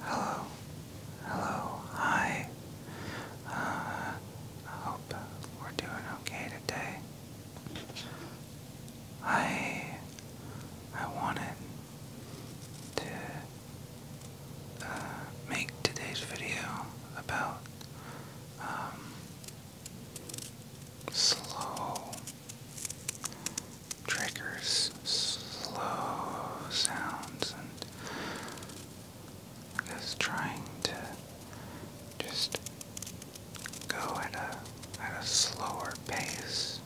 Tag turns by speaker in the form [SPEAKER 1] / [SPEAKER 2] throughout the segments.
[SPEAKER 1] Hello, hello, hi. Uh, I hope we're doing okay today. I I wanted to uh, make today's video about um, slow triggers slow sounds and just trying to just go at a at a slower pace.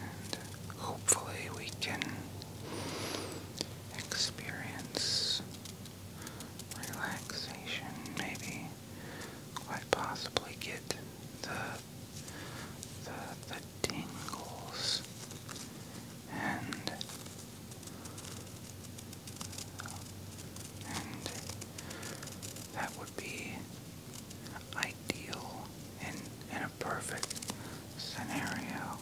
[SPEAKER 1] And hopefully we can experience relaxation, maybe quite possibly get the the, the tingles and and that would be ideal in in a perfect scenario.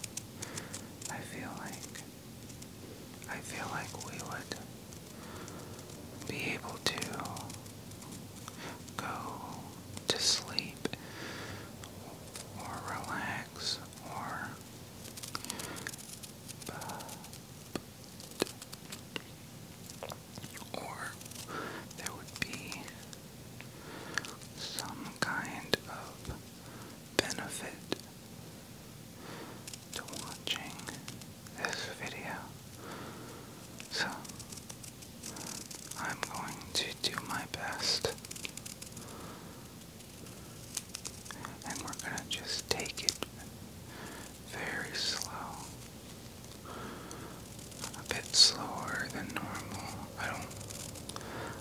[SPEAKER 1] I feel like I feel like we would be able to go to sleep or relax or there would be some kind of benefit to watching this video. So, I'm going to do my best. And we're going to just take it very slow. A bit slower than normal. I don't.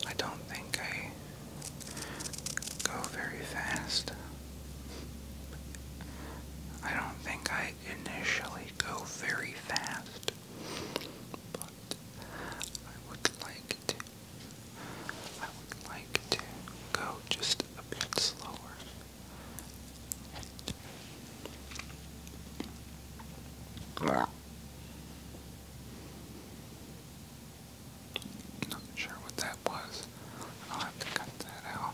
[SPEAKER 1] I don't think I go very fast. I don't think I initially go very fast, but I would like to. I would like to go just a bit slower. Not sure what that was. I'll have to cut that out.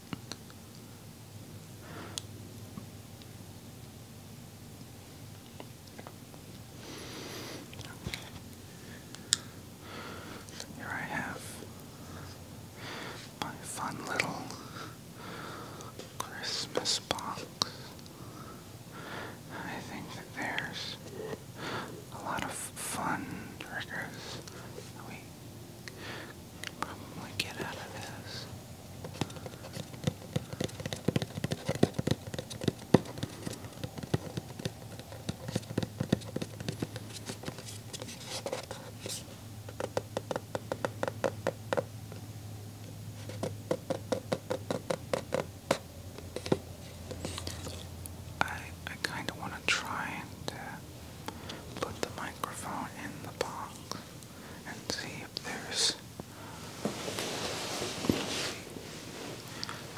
[SPEAKER 1] Here I have my fun little Christmas box. I think that there's a lot of fun triggers probably get out of this. I I kind of want to try and uh, put the microphone in the box and see if there's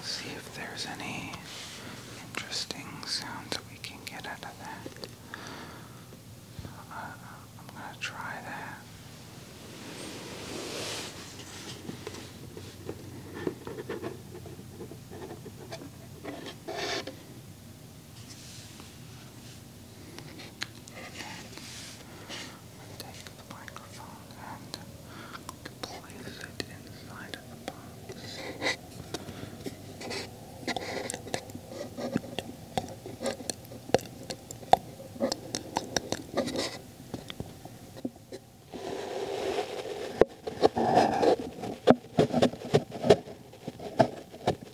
[SPEAKER 1] see if there's any interesting sounds we can get out of that. Uh, I'm gonna try that. And take the microphone and place it inside of the box.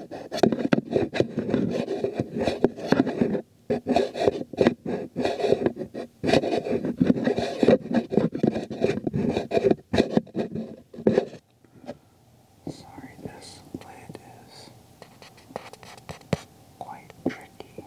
[SPEAKER 1] Sorry, this lid is quite tricky.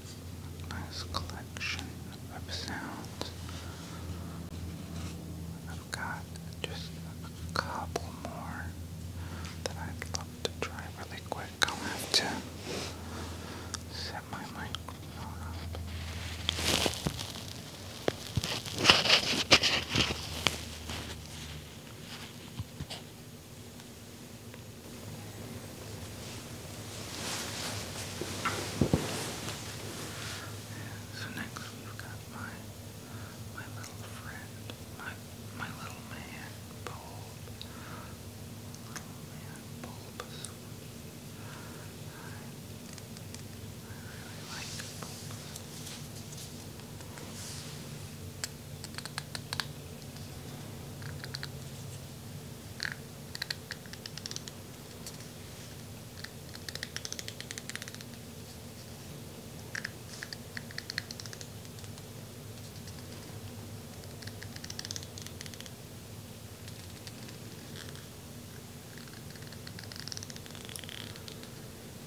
[SPEAKER 1] nice collection of sounds. I've got just a couple more that I'd love to try really quick. I'll have to set my microphone up. So next we've got my my little friend, my my little man, Bulb. I, really like Bulbasaur.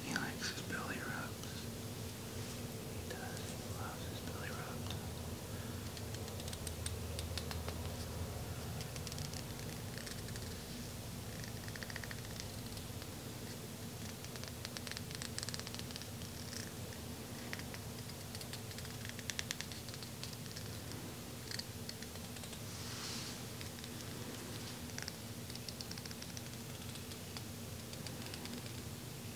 [SPEAKER 1] He likes his belly rubs. He does. loves his belly rubs.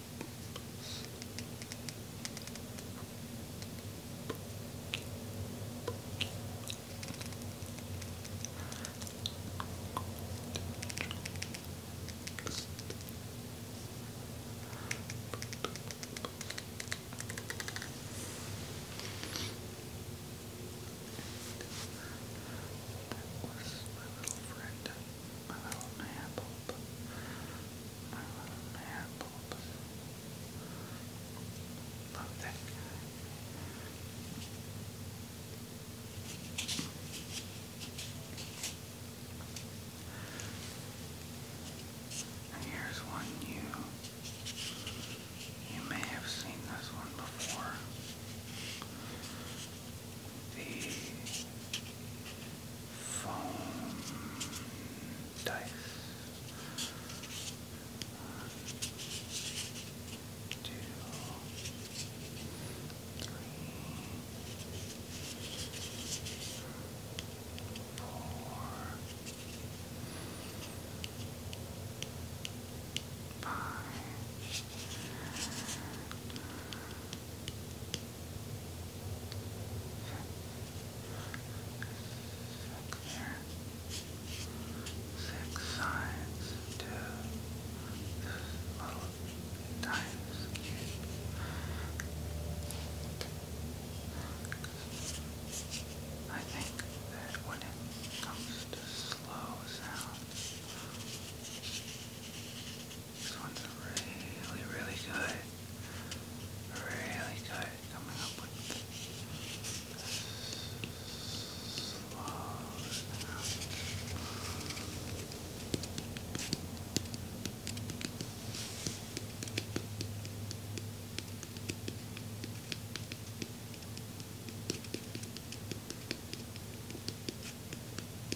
[SPEAKER 1] That was my little friend. My little man bulb. My little man bulb. Love that And here's one you you may have seen this one before. The foam dice. One, two, three, four, five. Six, here. Six sides to this times cube. I think that when it comes to slow sounds, this one's really, really good. Really good. Coming up with slow Slow